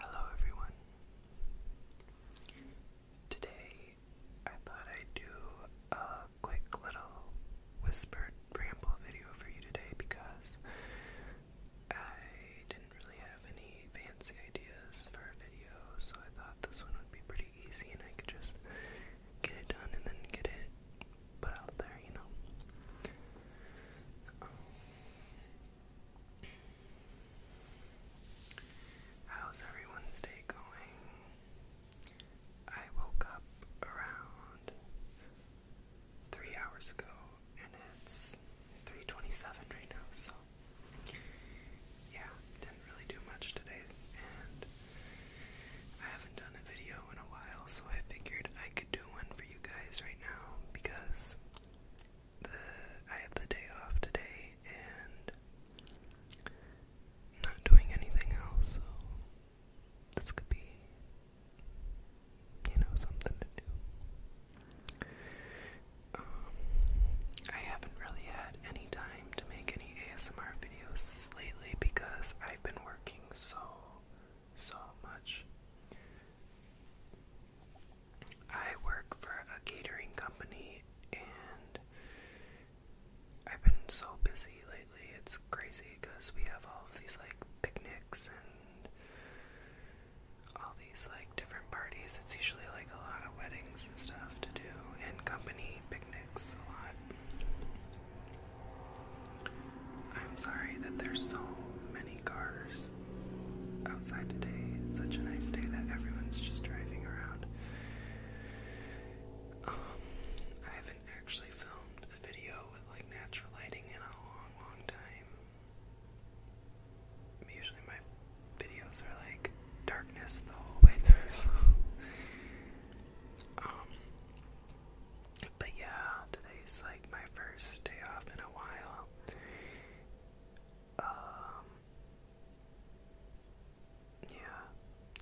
Hello everyone. Today I thought I'd do a quick little whispered ramble video for you today because I didn't really have any fancy ideas for a video, so I thought this one would be pretty easy and I could just get it done and then get it put out there, you know. How's everyone's day going? I woke up around three hours ago and it's 3.27 right now, so yeah, didn't really do much today and I haven't done a video in a while, so I figured I could do one for you guys right now because I have the day off today and not doing anything else, so this could be you know something to do. Um, I haven't really had any time to make any ASMR videos lately because I've been working so so much. I work for a catering company and I've been so busy lately. It's crazy because we have all of these like picnics and all these like different parties. It's usually like a lot of weddings and stuff to do and company picnics a lot. I'm sorry that there's so many cars outside today. It's such a nice day that everyone's just driving around. Um, I haven't actually filmed a video with like natural lighting in a long, long time. Usually my videos are like darkness the whole way through, um, but yeah, today's like my first day off in a while, um, yeah,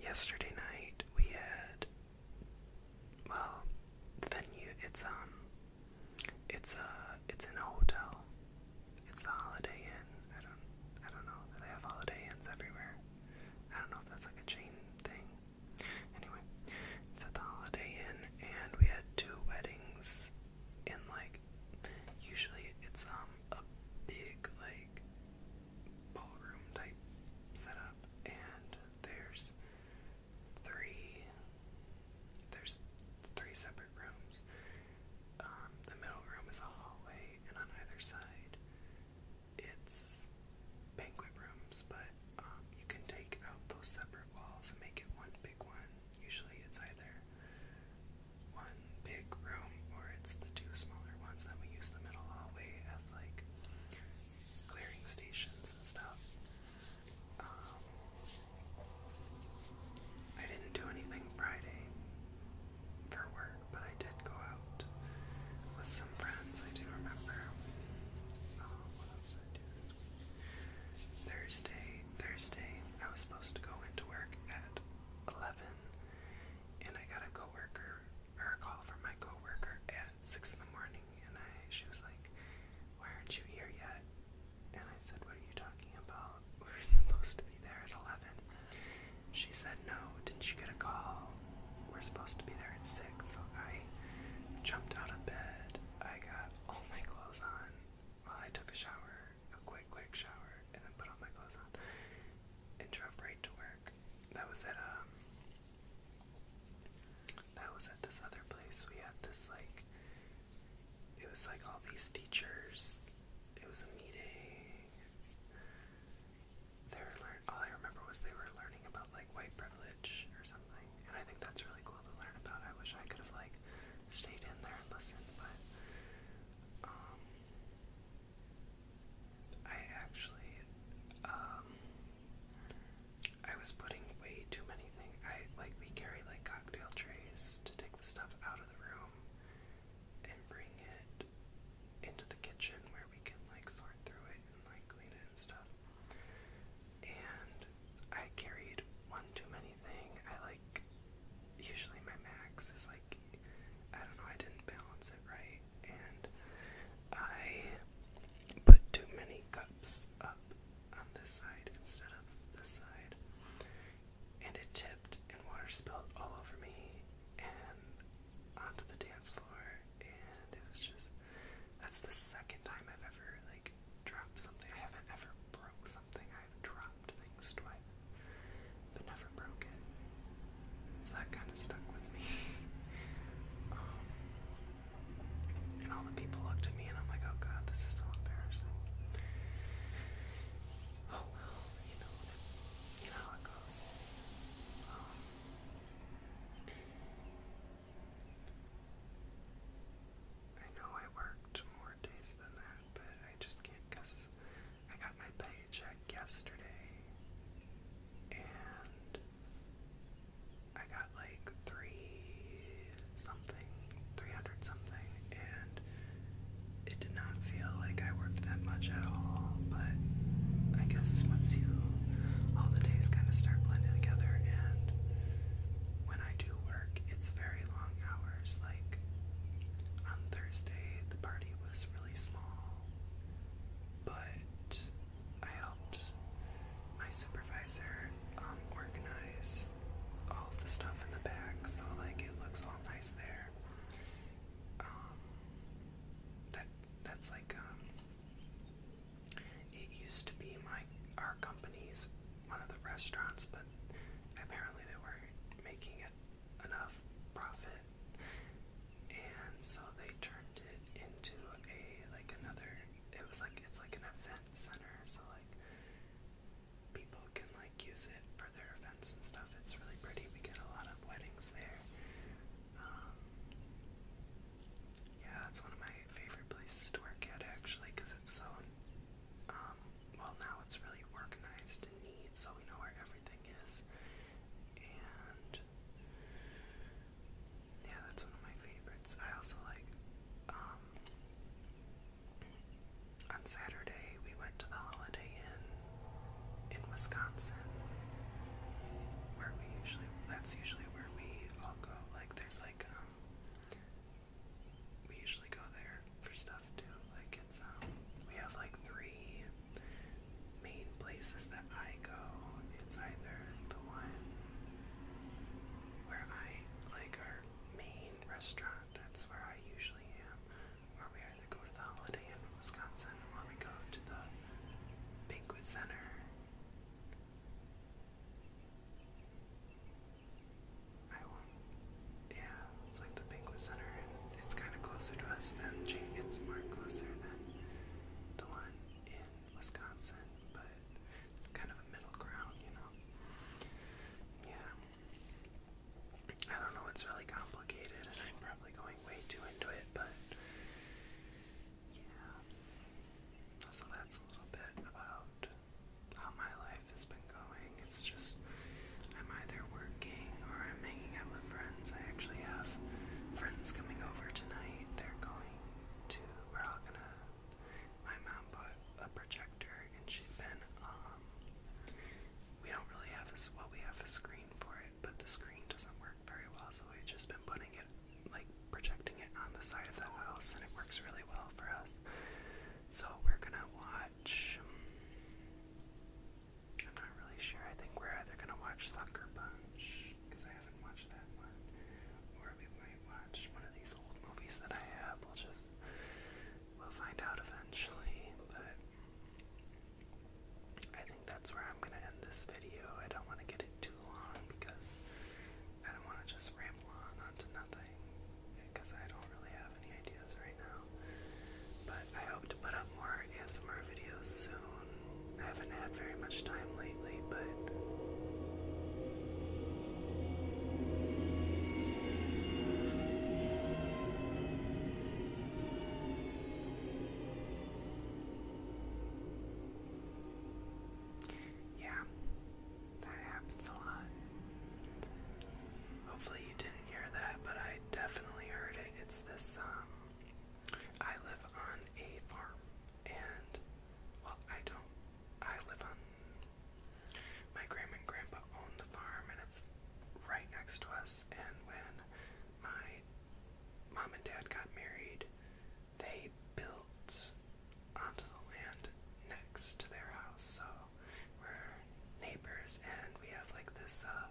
yesterday night we had. Well, the venue it's um, it's a uh, it's in a hotel. It's a Holiday Inn. I don't I don't know. They have Holiday Inns everywhere. I don't know if that's like a chain thing. Anyway, it's at the Holiday Inn, and we had two weddings. And like, usually it's um a big like ballroom type setup, and there's three. There's three separate rooms. Um, the middle room is a hallway, and on either side, it's banquet rooms, but um, you can take out those separate walls and make it one big one. Usually it's either one big room or it's the two smaller ones that we use the middle hallway as like clearing stations and stuff. Um, I didn't do anything Friday for work, but I did go out with some friends. I do remember. Uh, what else did I do this week? Thursday, Thursday, I was supposed to go into work at 11, and I got a coworker or a call from my coworker at 6 in the morning, and I she was like, Why aren't you here yet? And I said, What are you talking about? We are supposed to be there at 11. She said, No, didn't you get a call? We're supposed to be there at 6. So I jumped out of bed. I got all my clothes on. Well, I took a shower, a quick, quick shower, and then put all my clothes on and drove right to work. That was at um, that was at this other place. We had this like, it was like all these teachers. It was a meeting. They were learn. All I remember was they were learning about like white privilege or something something. And I think that's really cool to learn about. I wish I could have like stayed in there and listened, but um I actually um I was putting way too many things. I like we carry like cocktail trays to take the stuff out of the room and bring it into the kitchen where we can like sort through it and like clean it and stuff. And I carried one too many thing. I like usually my max is like I don't know, I didn't balance it right and I put too many cups up on this side instead of this side. And it tipped and water spilled all over me and onto the dance floor and it was just that's the second time I've ever like something. I haven't ever broke something. I've dropped things twice, but never broke it. So that kind of stuck with me. Um, and all the people looked at me, and I'm like, oh god, this is so embarrassing. Oh well, you know, how it goes. Um, I know I worked more days than that, but I just can't because I got my paycheck yesterday and I got like three something, 300 something, and it did not feel like I worked that much at all, but I guess once you all the days kind of start blending together and when when I do work, it's very long hours. Like on Thursday, the party was really small, but I helped my supervisor um, organize all of the stuff in the back so, like, it looks all nice there. Um, that that's like um it used to be my our company's one of the restaurants, but apparently they weren't making it enough profit, and so they turned it into a like another. It was like it's like an event center, so like people can like use it for their events and stuff. It's really pretty. We get a lot of weddings there. Um, yeah, it's one of my favorite places to work at actually because it's so, um, well, now it's really organized and neat, so we know where everything is. And yeah, that's one of my favorites. I also like, um, on Saturday we went to the Holiday Inn in Wisconsin, where we usually, that's usually where we all go. Like, there's like, um, we usually go there for stuff too. Like it's um we have like three main places that I go. It's either the one where I like our main restaurant, that's where I usually am, or we either go to the Holiday Inn in Wisconsin or we go to the banquet center yeah, it's like the Banquet Center, it's kind of closer to us than Jane. It's more closer than the one in Wisconsin, but it's kind of a middle ground, you know. Yeah, I don't know. It's really complicated, and I'm probably going way too into it, but yeah. So that's a little bit about how my life has been going. It's just I'm either working or I'm hanging out with friends. I actually have friends coming over tonight. They're going to we're all gonna my mom bought a projector and she's been um, we don't really have a, well we have a screen for it, but the screen doesn't work very well, so we've just been putting it like projecting it on the side of the house, and it works really well for us. So we're gonna watch. Um, I'm not really sure. I think we're either gonna watch Sucker Punch because I haven't watched that one, or we might watch one of these old movies that I have. We'll just we'll find out eventually, but. I think that's where I'm gonna end this video. I don't want to get it too long because I don't want to just ramble on onto nothing because I don't really have any ideas right now. But I hope to put up more ASMR videos soon. I haven't had very much time lately, but. Yeah, that happens a lot. Hopefully you didn't hear that, but I definitely heard it. It's this, um, I live on a farm, and, well, I don't, I live on, my grandma and grandpa own the farm, and it's right next to us, and when my mom and dad got married, they built onto the land next to their house. So we're neighbors and we have like this uh,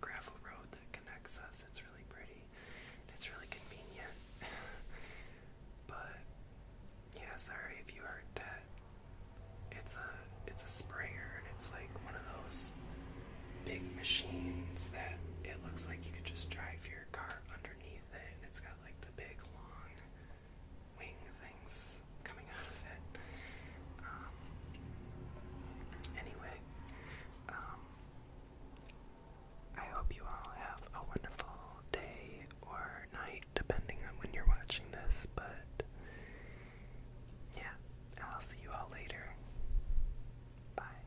gravel road that connects us. It's really pretty. It's really convenient. but yeah, sorry if you heard that. It's a it's a sprayer and it's like one of those big machines that it looks like you could just drive your car underneath it and it's got like the big long wing things coming out of it. Um, anyway, um, I hope you all have a wonderful day or night, depending on when you're watching this, but yeah, I'll see you all later. Bye.